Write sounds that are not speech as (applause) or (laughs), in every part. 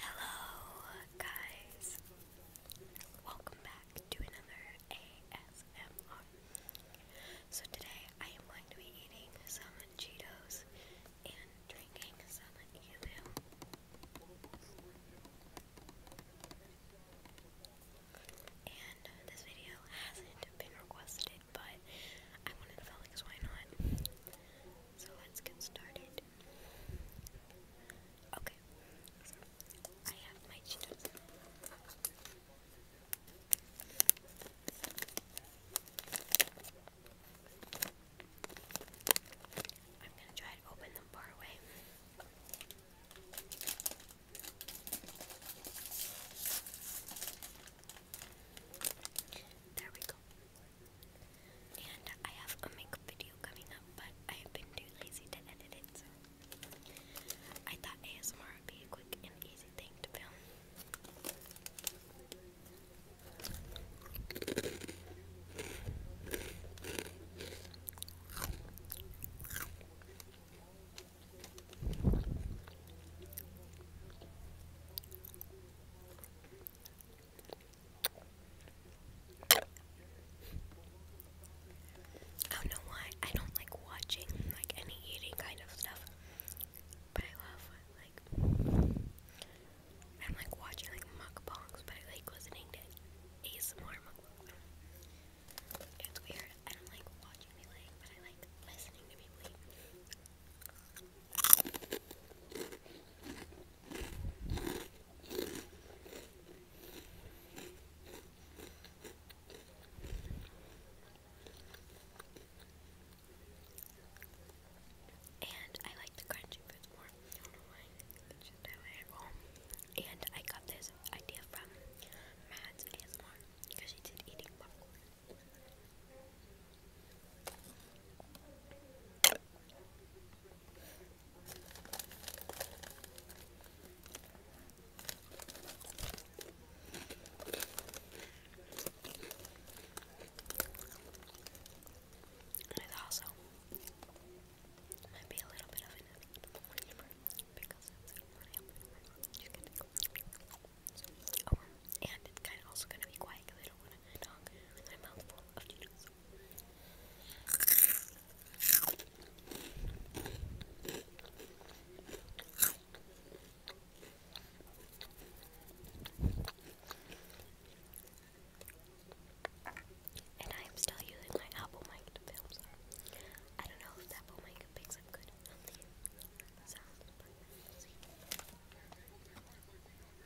Hello, guys. Welcome back to another ASMR. So, today I am going to be eating some Cheetos and drinking some emu. And this video hasn't been requested, but I wanted to feel like, why not? So, let's get started. Okay, so I have my Cheetos. I'm gonna try to open them far away. There we go. And I have a makeup video coming up, but I have been too lazy to edit it, so I thought ASMR would be a quick and easy thing to film. Oh, I don't know why I don't like watching like any eating kind of stuff, but I love like I'm like watching like mukbangs, but I like listening to ASMR mukbangs. It's weird. I don't like watching people but I like listening to people and I like the crunchy fruits more. I don't know why. It's just how um, And I got this idea from Mads ASMR because she did eating popcorn. There's also might a little bit of an because it's really up over. Oh, and it's kind of also going to be quiet because I don't want to talk with my mouth of noodles. And I am still using my Apple mic to film, I don't know if the mic picks up good sound, um, I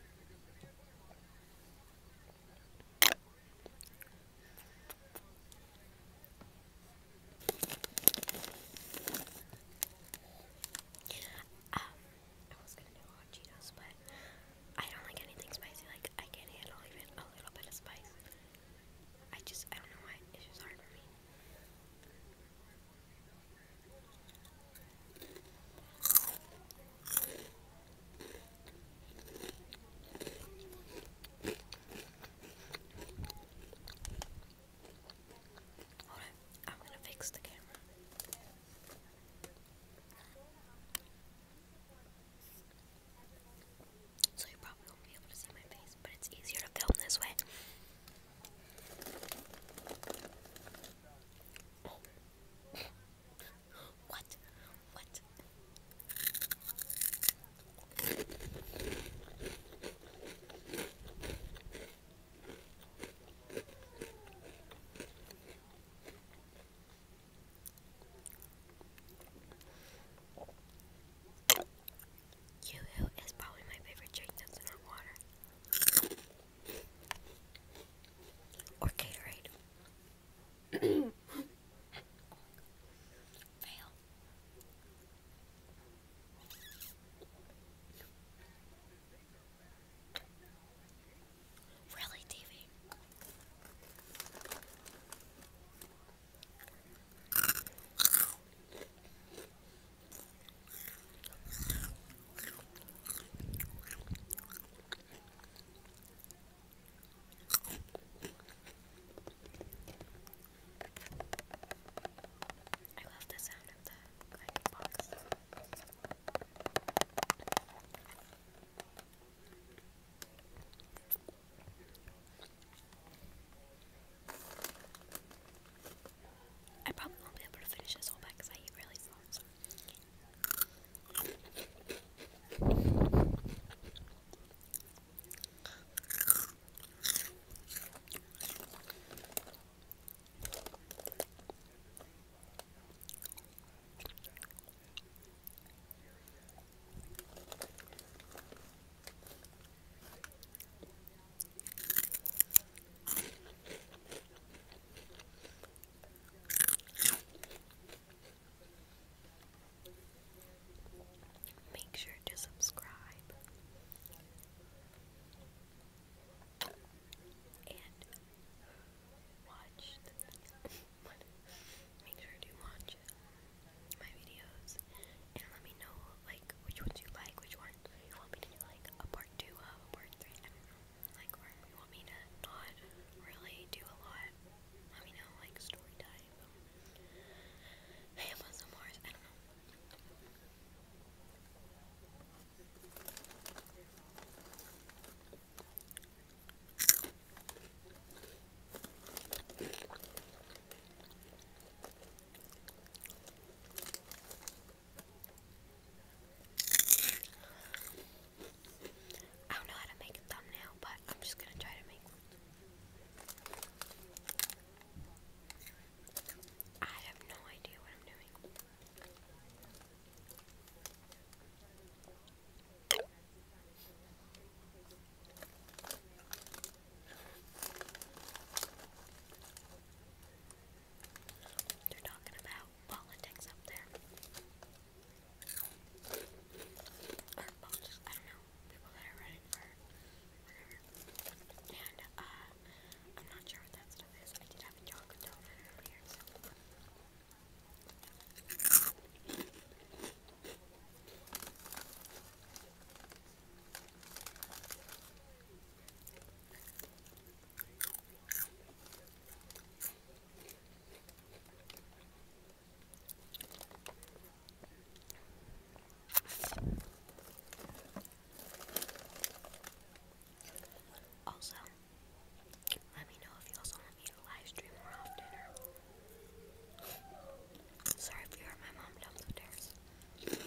I don't like anything spicy. Like I can't handle even a little bit of spice. I just I don't know why it's just hard for me. Hold I'm gonna fix the camera. So you probably won't be able to see my face, but it's easier to film this way. Oh. what? What? Yoo-hoo is probably my favorite drink that's in water. Or Gatorade. (coughs) Fail. Really, TV? I love the sound of the grinding box. I probably won't be able to finish this whole pack because I eat really slow. So. Make sure to subscribe and watch (laughs) Make sure to watch my videos and let me know like like, which ones you like, which ones you want me to like a part two of, a part three, like, or you want me to not really do a lot, let me know, like, story time, Hamlet some more, I don't know. I don't know how to make a thumbnail, but I'm just gonna try to make one. I have no idea what I'm doing. They're talking about politics up there. I don't know, people that are running for whatever. And, uh, I'm not sure what that stuff is. I did have a chocolate donut earlier, also, let me know if you also want me to live more often. Sorry if you heard my mom downstairs.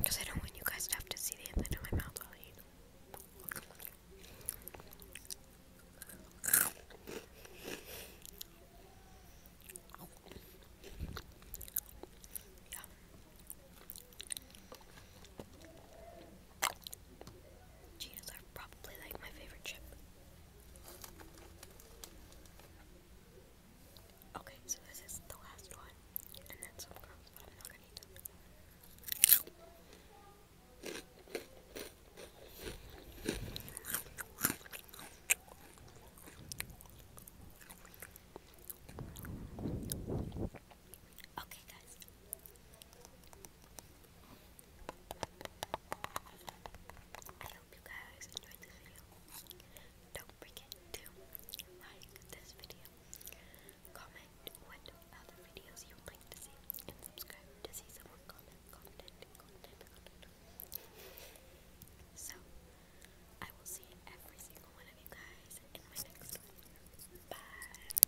Because I don't want you guys to have to see the inside of my mouth while I Cheetos are probably like my favorite chip. Okay, so this is the last one, and then some crumbs, but I'm not gonna eat them. Okay, guys. I hope you guys enjoyed this video. Don't forget to like this video, comment what other videos you would like to see, and subscribe to see some more content. So, I will see every single one of you guys in my next one. Bye!